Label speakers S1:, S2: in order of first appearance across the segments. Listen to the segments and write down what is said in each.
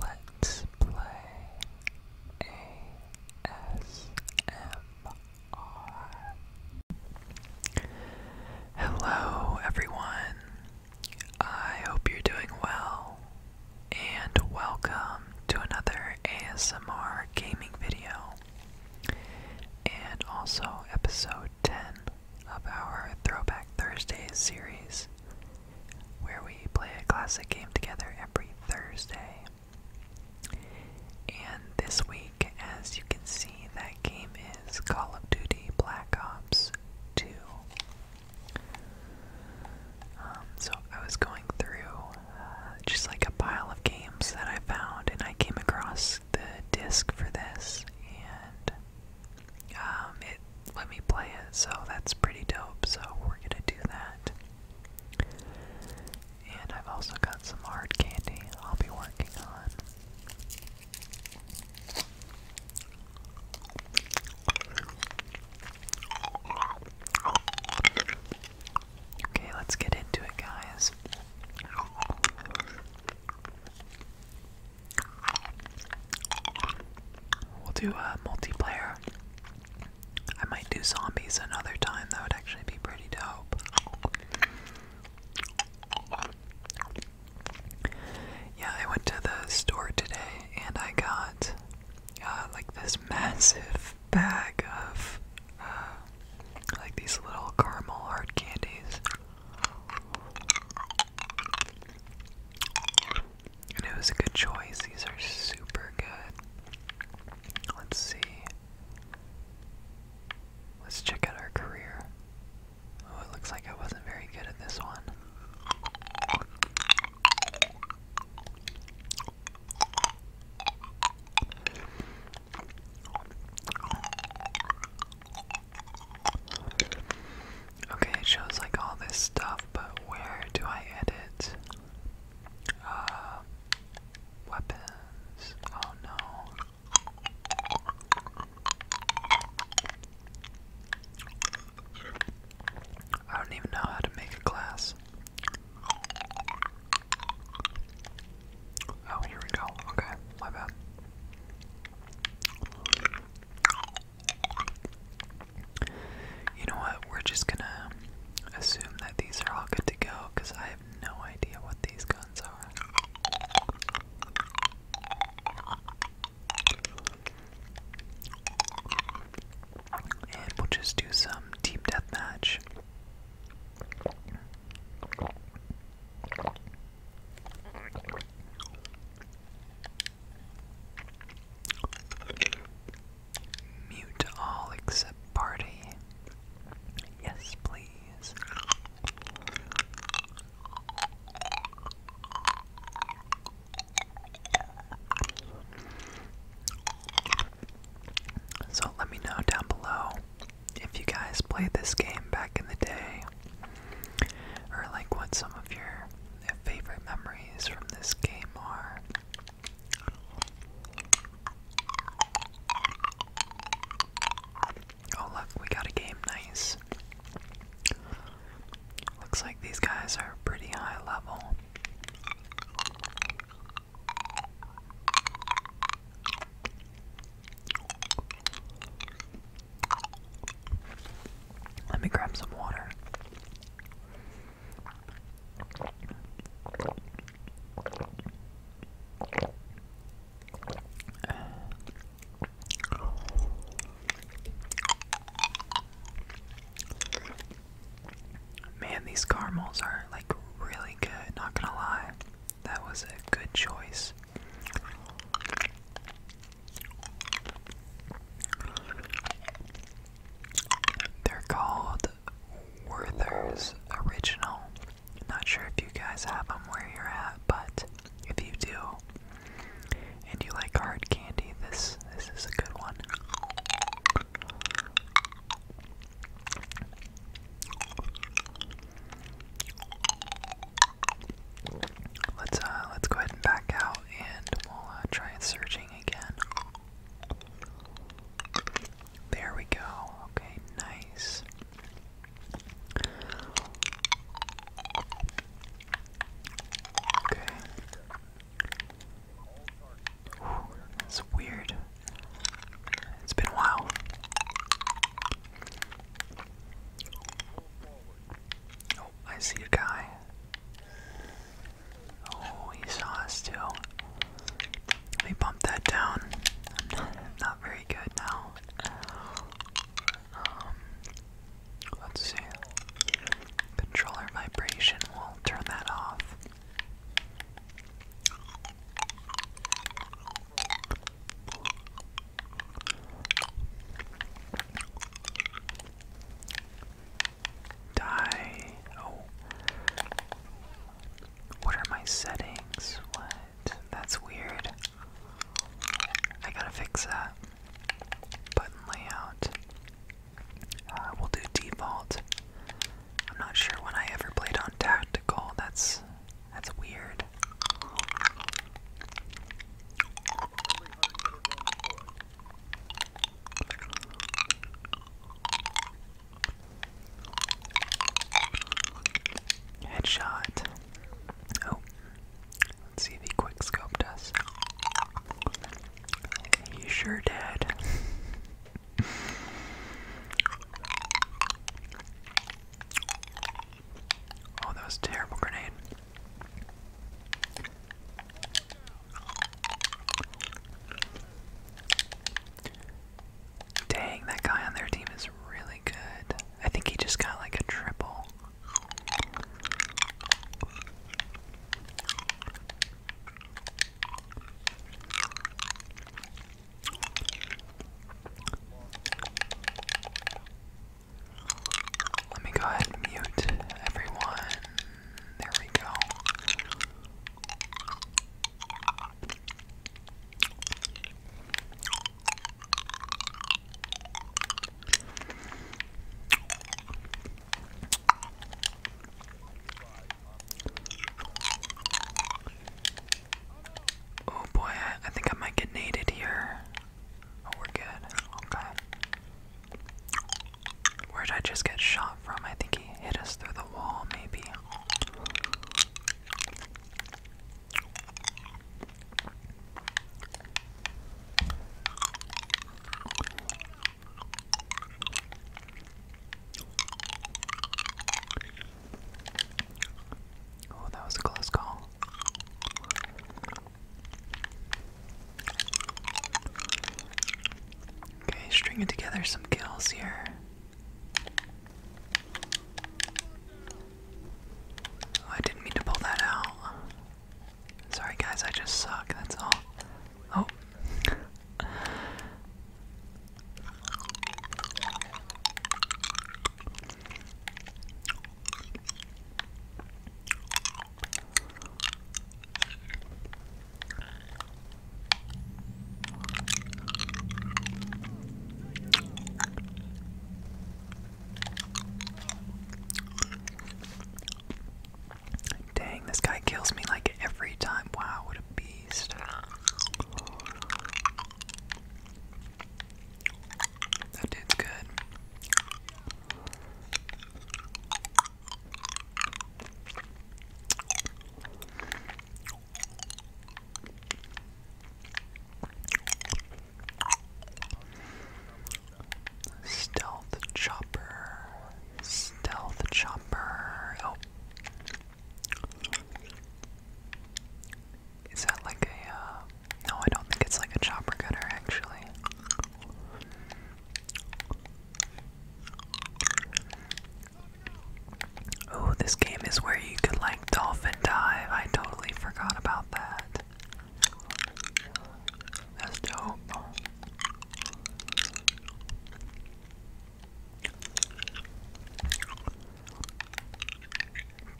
S1: Let's play ASMR. Hello, everyone. I hope you're doing well, and welcome to another ASMR gaming video, and also episode 10 of our Throwback Thursdays series where we play a classic game together every Thursday. And this week, as you can see, that game is Call of Duty Black Ops 2. Um, so I was going through uh, just like a pile of games that I found, and I came across the disc for this, and um, it let me play it, so that's pretty dope. So we're gonna do that. And I've also got some hard candy I'll be working on. Okay, let's get into it, guys. We'll do a multiplayer. I might do zombies another time. That would actually be pretty dope. Yeah, I went to the store today and I got uh, like this massive bag of uh, like these little caramel hard candies it was a good choice. These are super good. Let's see. Let's check out our career. Oh, it looks like I wasn't very good at this one. Okay, it shows like all this stuff, but where do I edit? Uh, weapons. Oh no. I don't even know how to make a glass. Oh, here we go. Okay, my bad. You know what? We're just gonna assume that these are all good to go because I have no idea what these guns are. And we'll just do some deep death match. Mute all except party. Yes, please. So let me know down below if you guys played this game back in the day or like what some of your favorite memories from this game are. Oh, look, we got a game, nice. Looks like these guys are pretty high level. Let me grab some water. Man, these caramels are like really good, not gonna lie. That was a good choice. They're called Werther's Original. Not sure if you guys have them where you're at, but if you do and you like hard candy, this this is a good one. Let's uh, let's go ahead and back out, and we'll uh, try searching again. There we go. Okay, nice. Okay. Whew, weird. It's been a while. Oh, I see a guy. Oh, he saw us too. Let me bump that down. not very good now. Um, let's see. Controller vibration, we'll turn that off. Die. Oh. What are my settings? What? That's weird. I gotta fix that. Button layout. Uh, we'll do default. I'm not sure when I ever played on tactical. That's that's weird. Headshot. Oh, let's see if he quick scoped us. He sure did. Oh, that was a terrible grenade. Dang, that guy on their team is really good. I think he just got like a triple. Let me go ahead and mute everyone. There we go. Oh boy, I, think I might get nated here. Oh, we're good. Okay. Where would I just get shot from? I think he hit us through the wall, maybe. Oh, that was a close call. Okay, stringing together some kills here. Oh, I didn't mean to pull that out. Sorry, guys, I just suck, that's all. Oh. Dang, this guy kills me like every time. Wow, what a beast. That dude's good. Stealth chopper, stealth chopper. Oh, is that like a, uh, no, I don't think it's like a chopper cutter actually. Oh, this game is where you could like dolphin dive. I totally forgot about that. That's dope.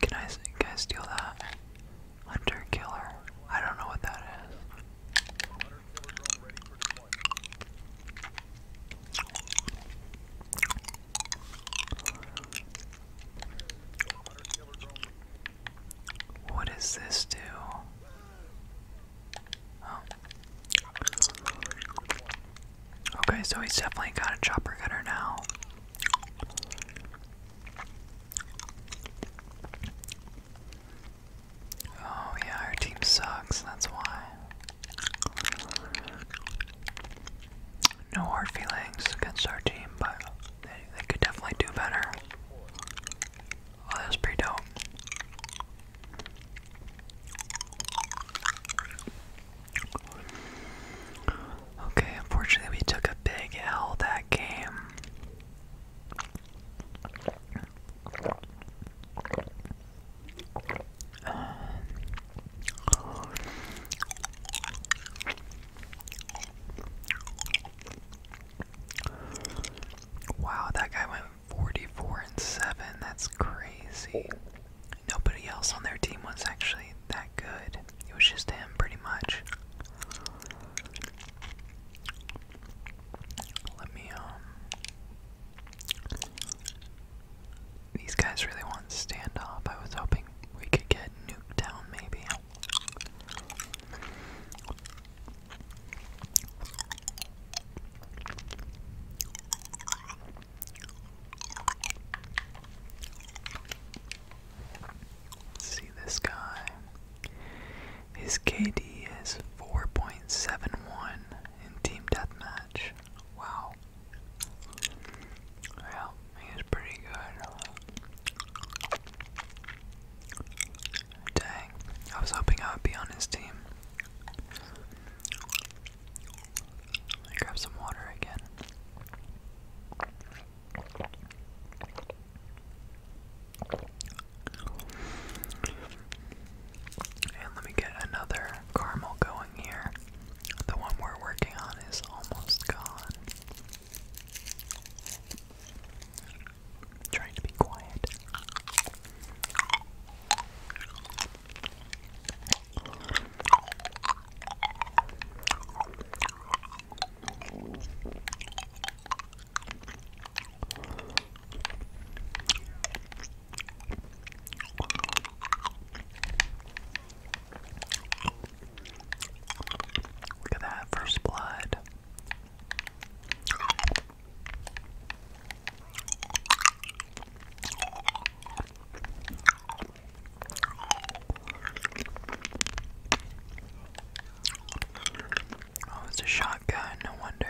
S1: Can I, can I steal that? Hunter killer. I don't know what that is. What does this do? Oh. Okay, so he's definitely got a chopper gunner now. Oh, yeah, our team sucks, that's why. No hard feelings against our team, but they, they could definitely do better. Oh, that was pretty dope. Okay, unfortunately, we took a big L that game. wow, that guy went 44 and 7. That's crazy. Nobody else on their team was actually that good. It was just him, pretty much. Let me, um. These guys really want stand standoff. I was hoping we could get nuked down, maybe see this guy. His KD is 4.71 in Team Deathmatch. Wow. Well, he's pretty good. Dang, I was hoping I would be on his team. Grab some water again. And let me get another caramel going here. The one we're working on is almost gone. trying to be quiet. Look at that first blood. Oh, it's a shotgun, no wonder.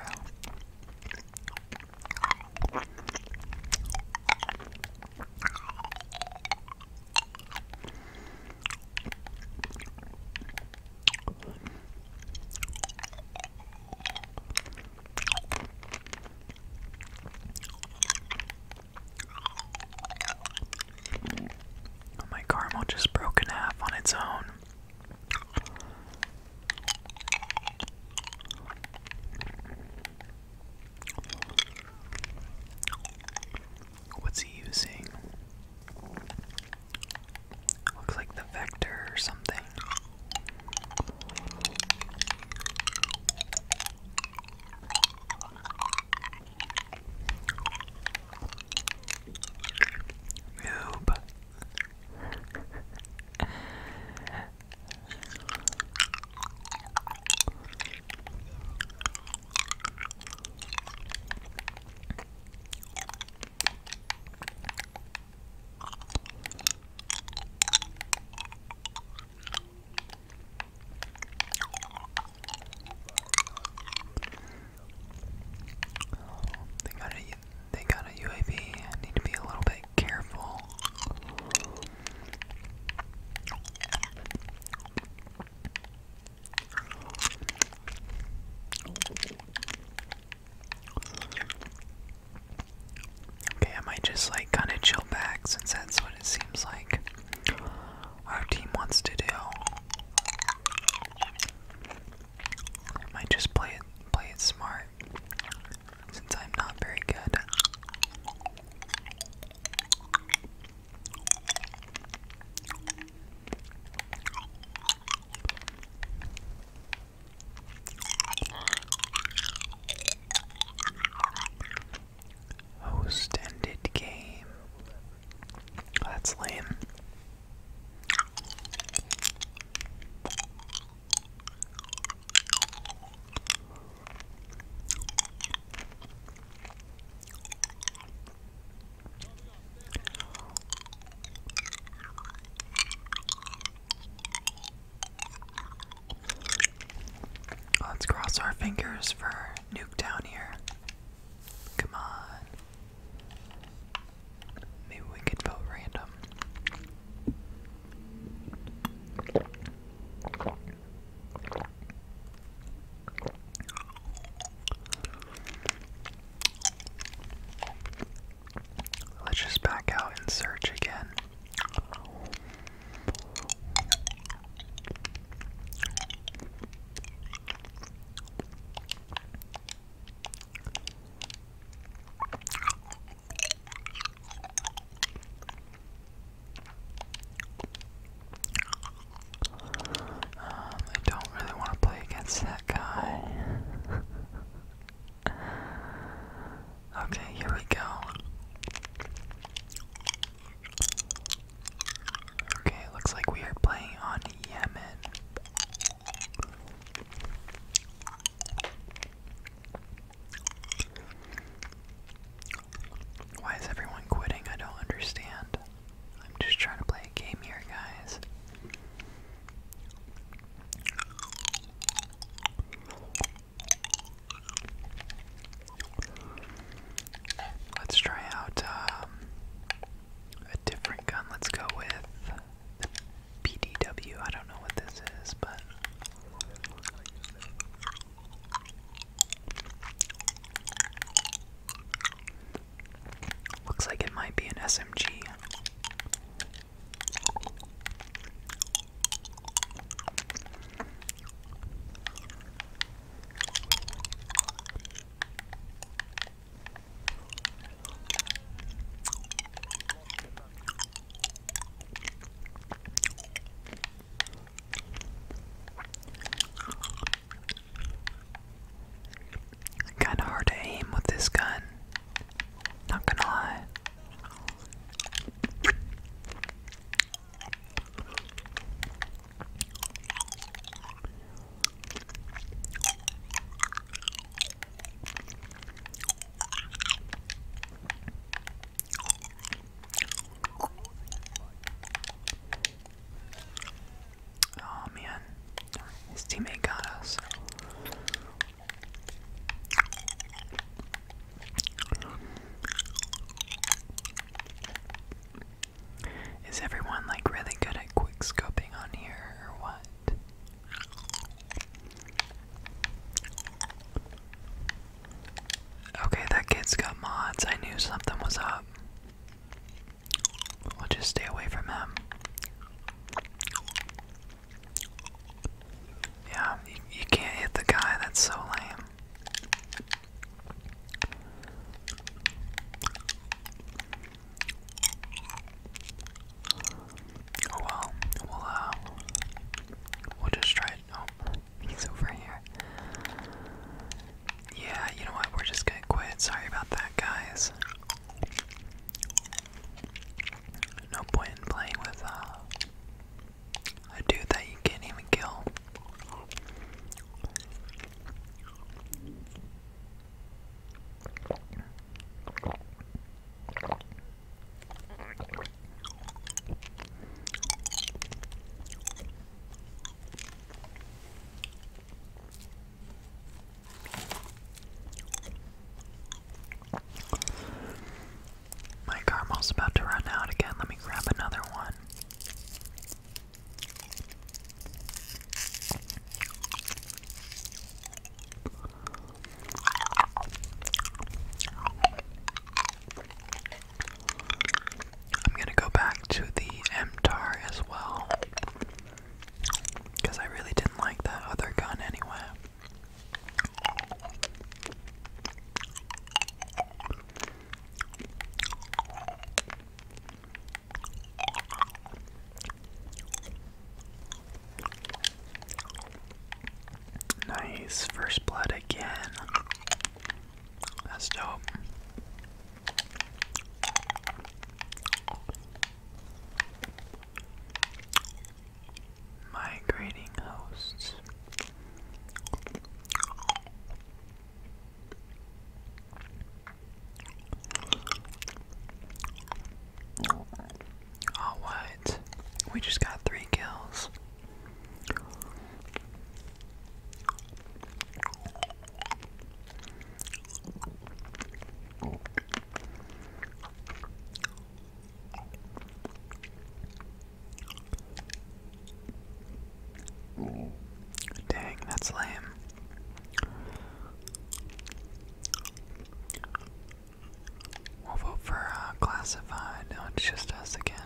S1: Oh, my caramel just broke in half on its own. What's he using? Looks like the vector or something. Noob. They got a they got a UAV. I need to be a little bit careful. Okay, I might just like kind of chill back since that's what it seems like our team wants to do. I might just play it play it smart since I'm not very good. Host ended game. That's lame. Let's cross our fingers for nuke down here. Come on. Maybe we could vote random. Let's just back out and search again. Um, I don't really want to play against that guy. Okay, here we go. Okay, looks like we are playing on Yemen. Why is everyone quitting? I don't understand. I'm just trying to play a game here, guys. Let's try out um, a different gun. Let's go with the PDW. I don't know what this is, but. Looks like it might be an SMG. Kinda hard to aim with this gun. Not gonna lie. Oh man, his teammate got us. Is everyone like really good at quick scoping on here or what? Okay, that kid's got mods. I knew something was up. We'll just stay away from him. Yeah, you, can't hit the guy, that's so lame. Oh well, we'll uh, we'll just try it. Oh, he's over here. Yeah, you know what? We're just gonna quit. Sorry about that, guys. No point in playing with uh, a dude that you can't even kill. My caramel's about to run out again. Let me grab another one. I'm gonna go back to the MTAR as well. Because I really didn't like that other gun anyway. Nice, first blood again. That's dope migrating hosts. Oh, what? We just got three kills. Dang, that's lame. We'll vote for uh, classified. No, it's just us again.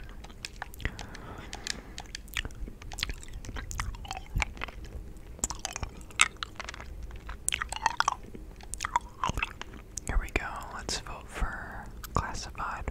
S1: Here we go. Let's vote for classified.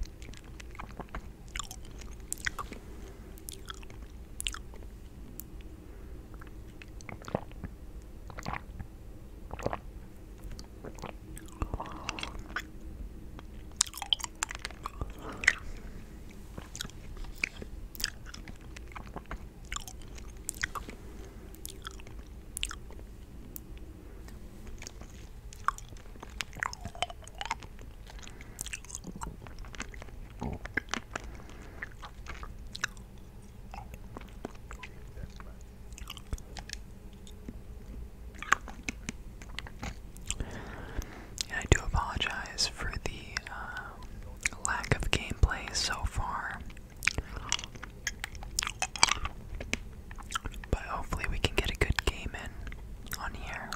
S1: And I do apologize for the um, lack of gameplay so far. But hopefully, we can get a good game in on here.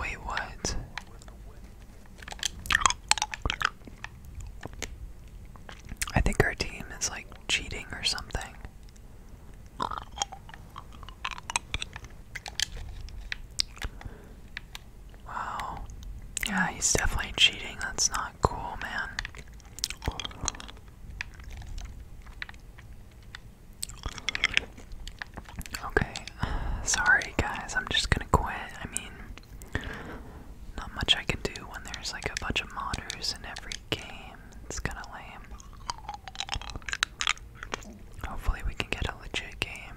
S1: Wait, what? I think our team is like cheating or something. Wow. Yeah, he's definitely cheating. That's not cool, man. Okay. Sorry, guys. I'm just gonna quit. I mean, not much I can do when there's like a bunch of modders in every game. It's kinda lame. Hopefully, we can get a legit game.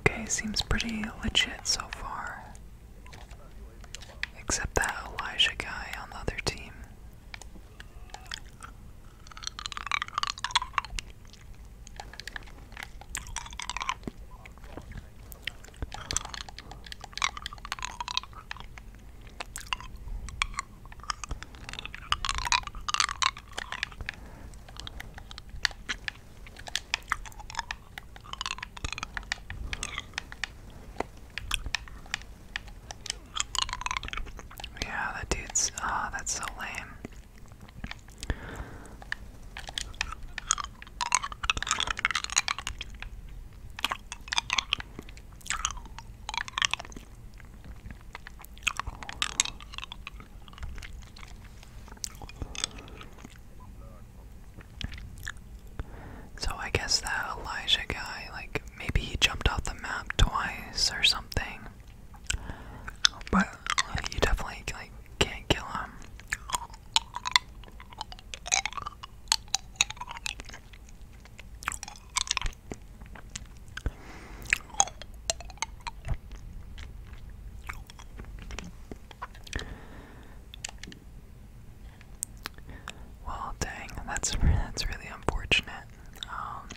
S1: Okay, seems pretty legit so far. Except that Elijah guy on the other team. Yeah, that dude's. Ah, that's so lame. So I guess that Elijah guy, like, maybe he jumped off the map twice or something. But you definitely, like, can't kill him. Well, dang, that's that's really unfortunate. Um,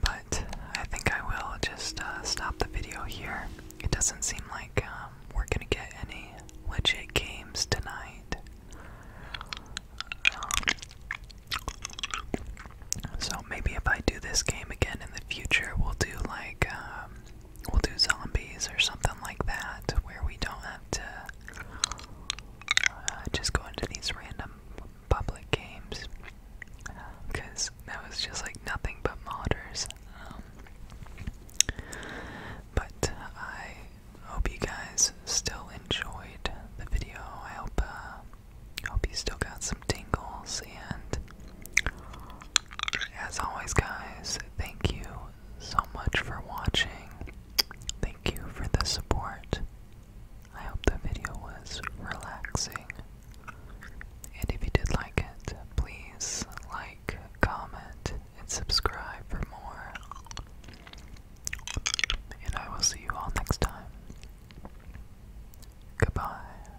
S1: but I think I will just uh, stop the video here. It doesn't seem like um, we're gonna get any legit games tonight. Um, so maybe if I do this game again in the future, we'll do like we'll do zombies or something like that, where we don't have to uh, just go into these random public games. Because that was just like nothing but modders. Um, but I hope you guys still enjoyed the video. I hope, uh, hope you still got some tingles and as always, guys, thank you so much for watching. Thank you for the support. I hope the video was relaxing. And if you did like it, please like, comment, and subscribe for more. And I will see you all next time. Goodbye.